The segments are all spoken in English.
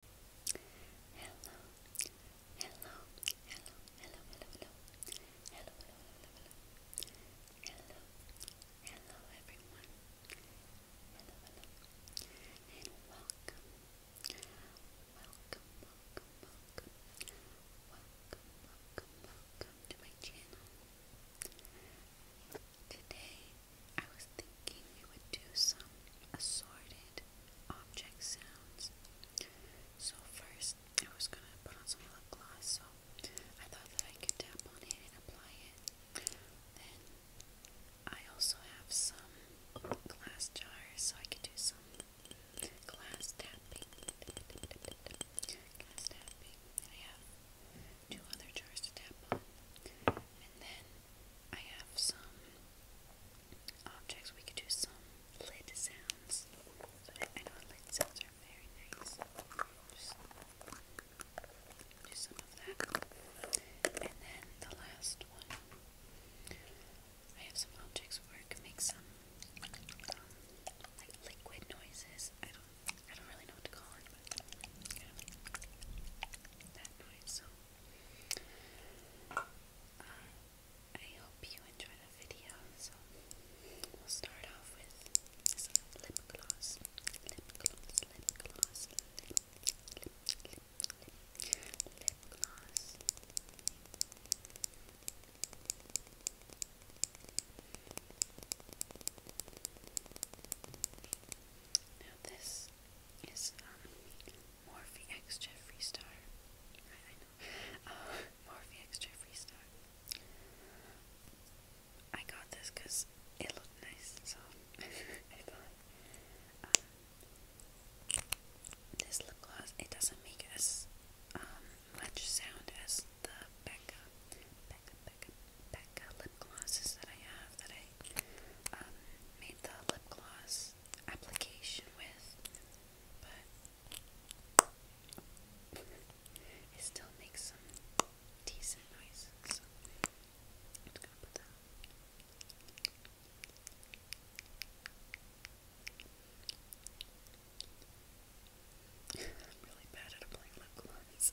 Hello, hello, hello, hello, hello, hello, hello, hello, hello, everyone. and welcome, welcome, welcome, welcome, welcome, welcome, welcome to my channel. Today, I was thinking thinking you would do some assorted object sounds. So first, I was gonna put on some lip gloss, so I thought that I could tap on it and apply it. Then I also have some glass jars, so I could do some glass tapping. Glass tapping. And I have two other jars to tap on. And then I have some objects. We could do some lid sounds. I, know lid sounds are very nice. Just do some of that. And then the last one. I have some objects where I can make some um, like liquid noises. I don't I don't really know what to call it, but that noise. Uh, I hope you enjoy the video. So we'll start off with lip gloss. Lip gloss, lip gloss, lip, lip, lip, lip, lip gloss. Now this is um Morphe X Jeffree I know. Uh, Morphe X Jeffree I got this because it looked nice, so I thought. Um, this lip gloss, it doesn't make as um, much sound as the Becca, Becca, Becca, Becca lip glosses that I have that I um, made the lip gloss application with, but it still makes some decent noises. I'm really bad at applying lip gloss.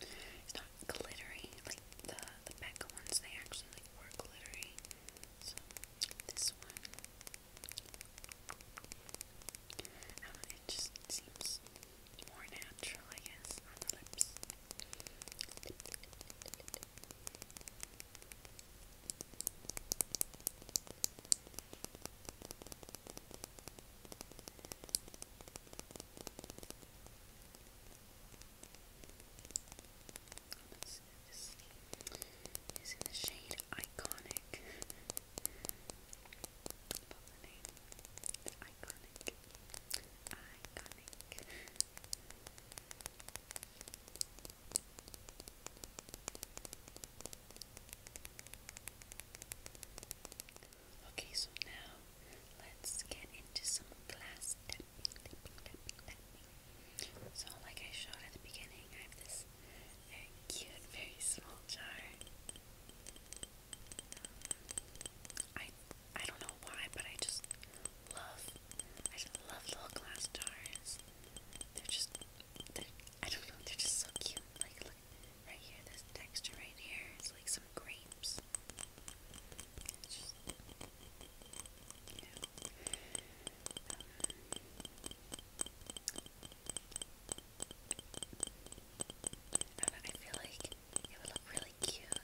it's not glittery. Like the the Becca ones, they actually like were glittery. So this one, um, it just seems more natural, I guess, on the lips. This is in the shade Iconic. Iconic. Iconic. Okay, so now let's get into some glass So, like I showed at the beginning, I have this very cute, very small jar. I I don't know why, but I just love I just love little glass jars. They're just they're, I don't know, they're just so cute. Like Right here, this texture right here is like some grapes. Um, I feel like it would look really cute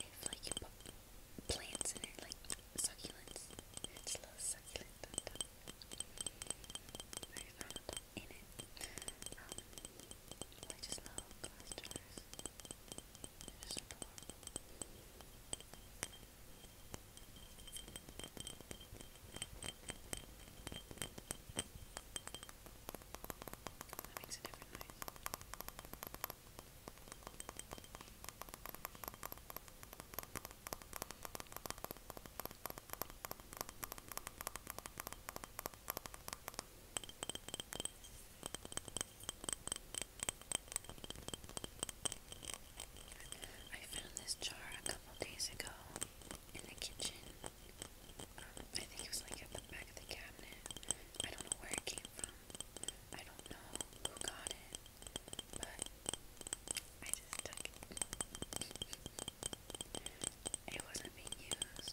if like you put plants in it, like succulents. It's a little succulent in it. Um, I just love glass That makes a different noise. I found this jar a couple days ago in the kitchen. I think it was like at the back of the cabinet. I don't know where it came from. I don't know who got it, but I just took it. It wasn't being used,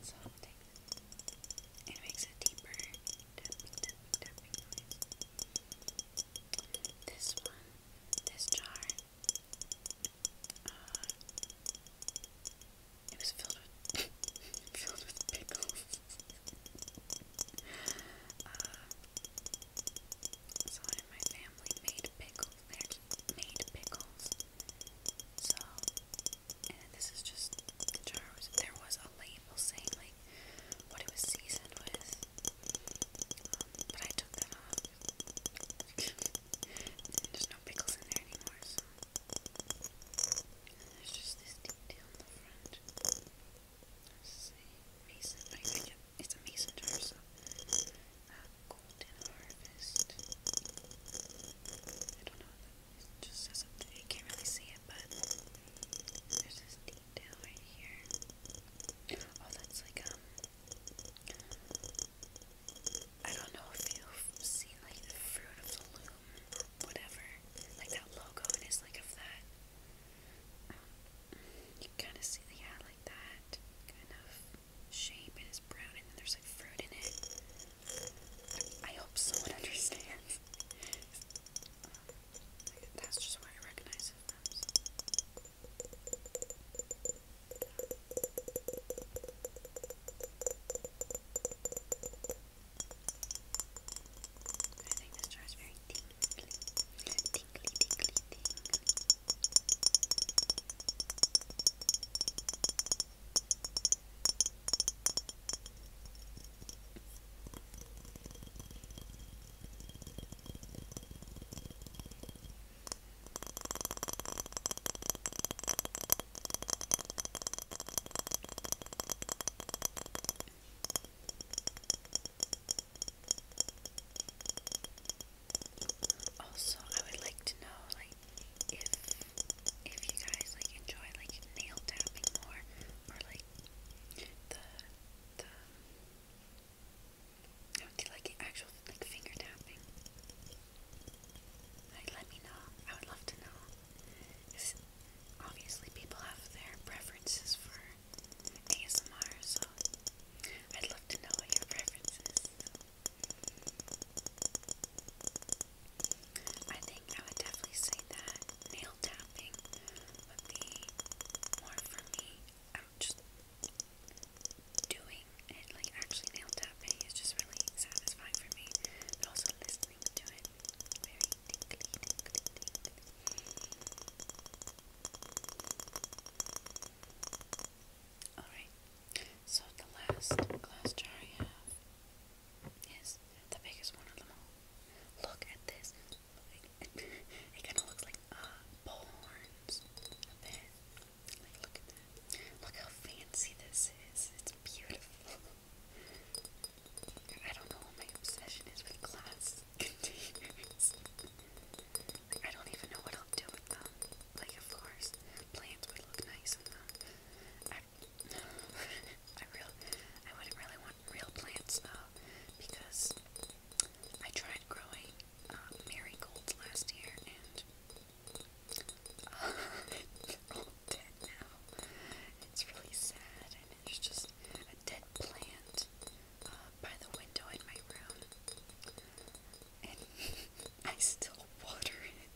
So I'll take this. It makes a deeper This one, this jar, uh, it was filled with filled with pickles. uh, my family made pickles. made pickles. So and this is just the jar was there was a label saying like what it was seasoned with um, but I took that off there's no pickles in there anymore so and there's just this detail in the front let's see mason but I get, it's a mason jar so uh, golden harvest I don't know what that it just doesn't, you can't really see it, but there's this detail right here. Oh, that's like, um, I don't know if you've seen like the Fruit of the Loom, whatever, like that logo, it is like of that. Um, you kind of see yeah, like that kind of shape, it's brown, and then there's like fruit in it. I hope someone understands. that's just why I recognize it from. I think this jar also, I would like to know, like, if if you guys like enjoy like nail tapping more or like the the I would do like actual like finger tapping. Like let me know. I would love to know. Obviously people have their preferences for ASMR, so I'd love to know what your preferences. I think I would definitely say that nail tapping would be more for me. just doing it, like actually nail tapping is just really satisfying for me, but also listening to it. Very tingly, tingly, tingly. Alright, so the last glass jar I have Yes, the biggest one of them all. Look at this. It kind of looks like uh, horns a look how fancy this is. It's beautiful. I don't know what my obsession is with glass containers. I don't even know what I'll do with them. Like, of course, plants would look nice in them. I real I wouldn't really want real plants though because I tried growing um, marigolds last year and uh, all dead now. It's really sad and it's just a dead plant uh, by the window in my room. And I still water it.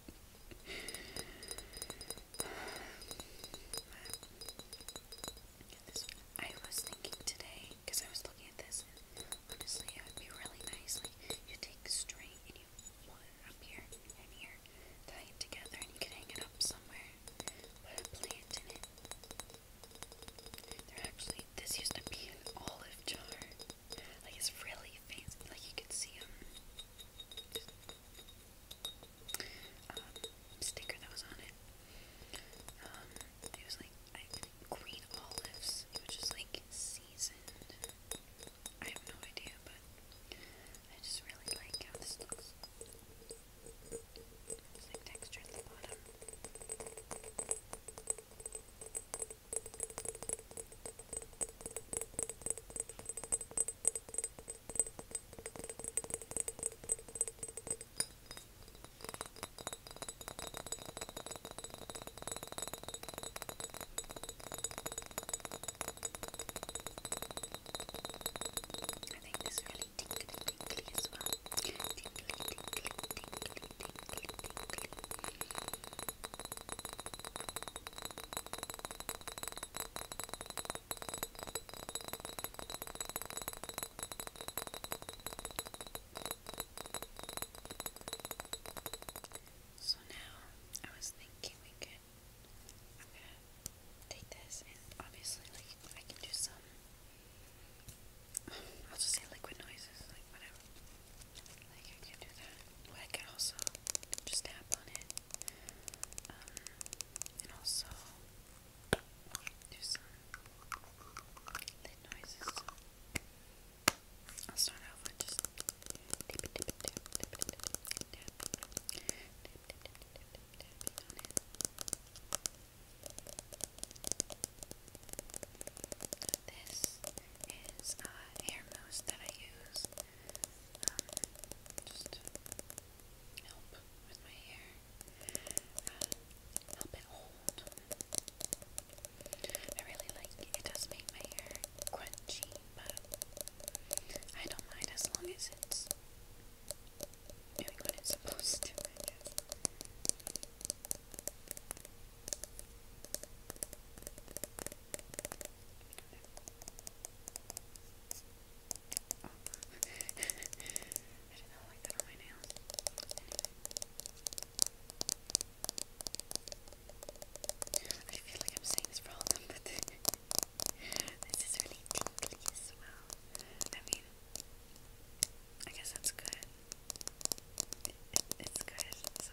I was thinking today, because I was looking at this, and honestly, it would be really nice. Like, you take string and you pull up here and here, tie it together, and you can hang it up somewhere. Put a plant in it. There actually, this used to be an olive jar. Like, it's really fancy. Like, you could see them. Um, sticker that was on it. Um, it was like I green olives. It was just like seasoned. I have no idea, but I just really like how this looks. like texture at the bottom. I think this really tingly, tingly as well. Tingly, tingly, tingly, tingly, tingly, tingly. So now I was thinking we could take this and obviously like I can do some I'll just say liquid noises, like whatever. Like I can do that. I can also just tap on it. and also do some lid noises. I'll start off with just This is a hair mousse that I use help with my hair, help it hold. I really like it. It does make my hair crunchy, but I don't mind as long as it's doing what it's supposed to, Oh. I feel like I'm saying this for all them, but this is really tingly well. I mean, I guess that's good. it's good, so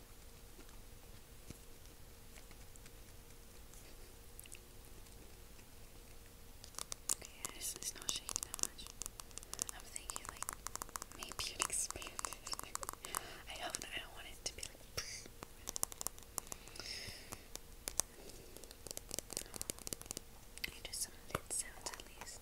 Yeah, it's, it's not shaking that much. I'm thinking like maybe you I hope I don't want it to be like I need some lid sounds at least.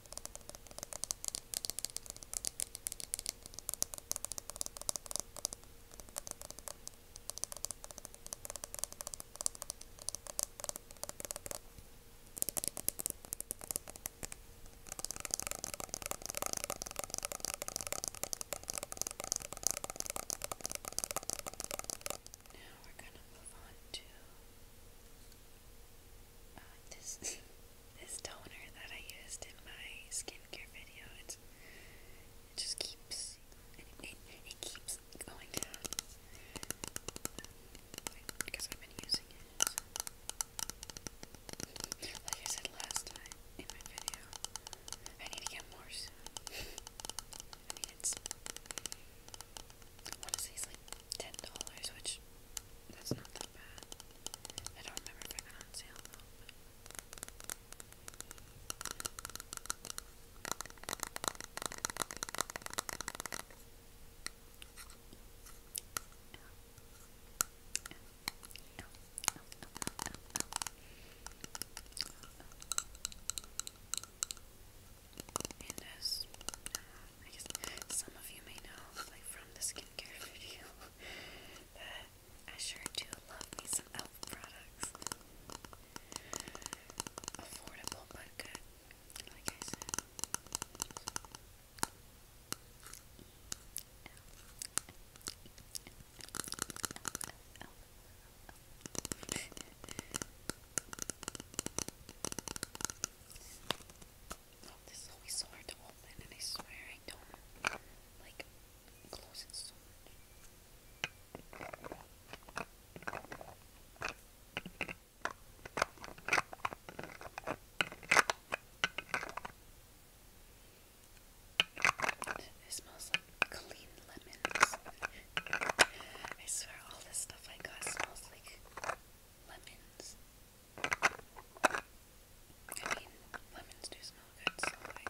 Now we're going to move on to this this toner that I used in my skincare video. It's, it just keeps it, keeps going down because I've been using it. Like I said last time in my video, I need to get more soon. I mean, it's. Honestly, it's ten dollars, which that's not that bad. I don't remember if I got on sale though. And as uh, I guess some of you may know, like from the skincare video, that I sure do love me some elf products. Affordable but good, like I said. Oh, this is always so hard to open, and I swear I don't like close it so much. It smells like clean lemons. I swear all this stuff I got smells like lemons. I mean, lemons do smell good, so I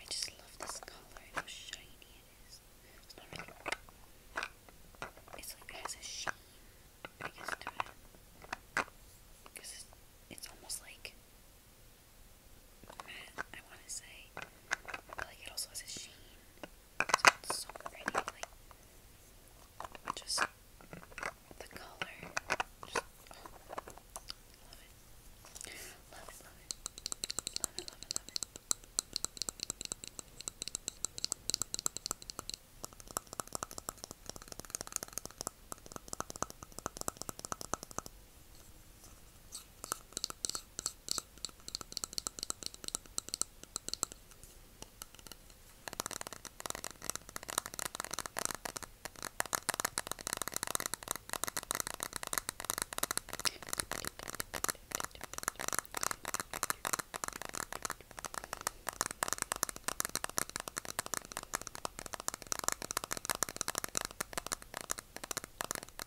I just love this color how shiny it is. It's like it has a sheen, I guess, Because it's, it's almost like. I want to say. like, it also has a sheen. So it's so pretty, like just the color. Just, oh, love it. Love it, love it. Love it, love it, love it. Okay.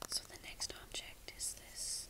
So the next object is this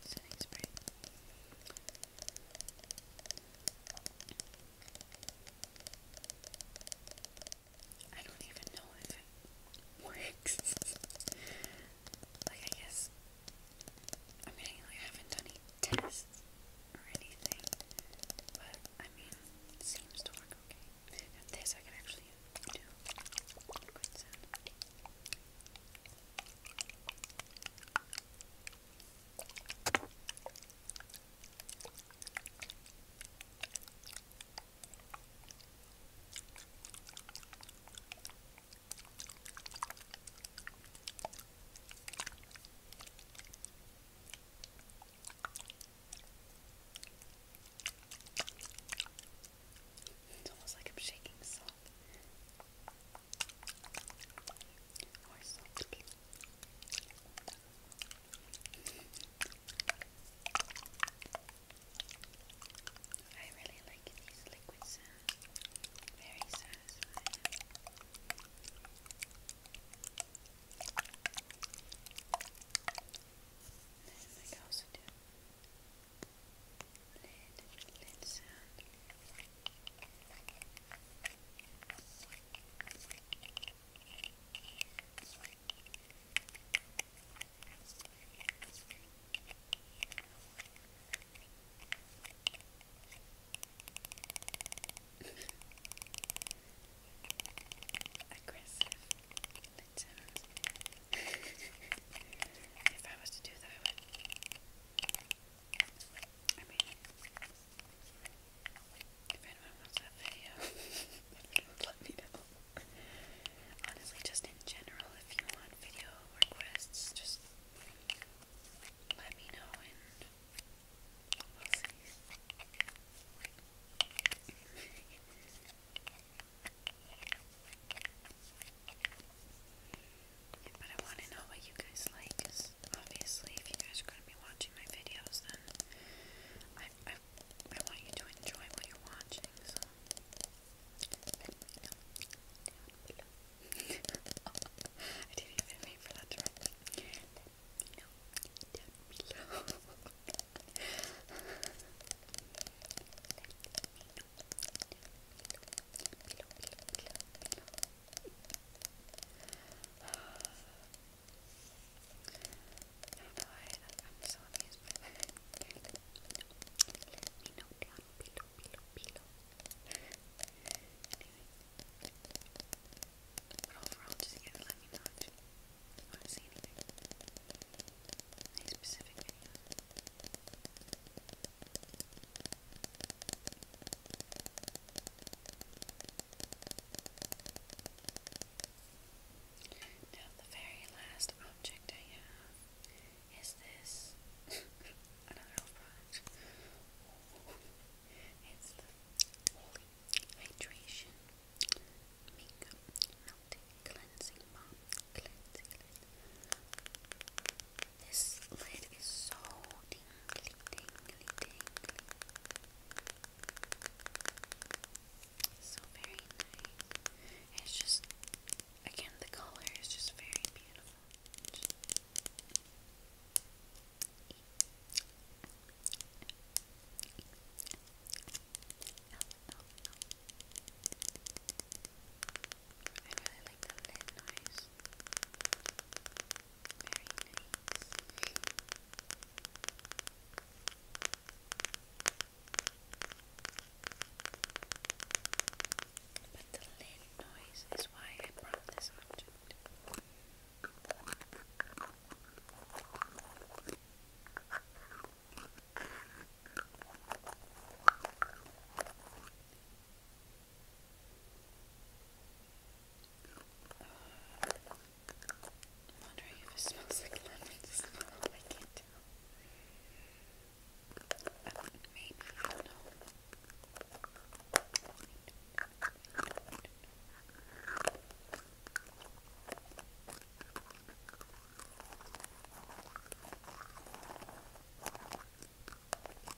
setting spray. I don't even know if it works. like I guess I mean I haven't done any tests or anything. But I mean it seems to work okay. And this I can actually do. Good sound. It's almost like I'm shaking salt. Or softly. I really like these liquid sounds. Very satisfying. Then I also do lid, lid Aggressive lid if I was to do that, I would I Honestly, just in general, if you want video requests, just let me know and we'll see. But I want to know what you guys like, because obviously, if you guys are going to be watching my videos, then I, I, I want you to enjoy what you're watching. So, oh, I didn't even wait for that to run. No, down below. Let me know I'm so amused by that. Let me know down below, below, below. Anyway. But overall, just again, let me know if you want to see anything. Any specific videos. Now, the very last object I have is this another product. it's the Holy Hydration Makeup Melting Cleansing Balm. This lid is so ding, ding, ding, ding, ding, So very nice. It's just, again, the color is just very beautiful. Just L -L -L. I really like the lid noise. Very nice. But the lid noise is why I brought this object. I'm wondering if it smells like lemon. I can't tell. Um, I don't know.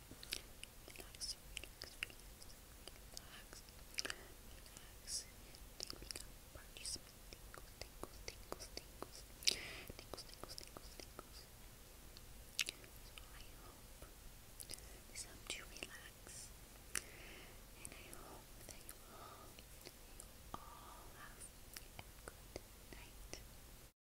relax, relax, relax, relax, parties, tingles, tingles, tingles, tingles, tingles, tingles, tingles, tingles. So I hope this helped you relax, and I hope that you all, you all have a good night.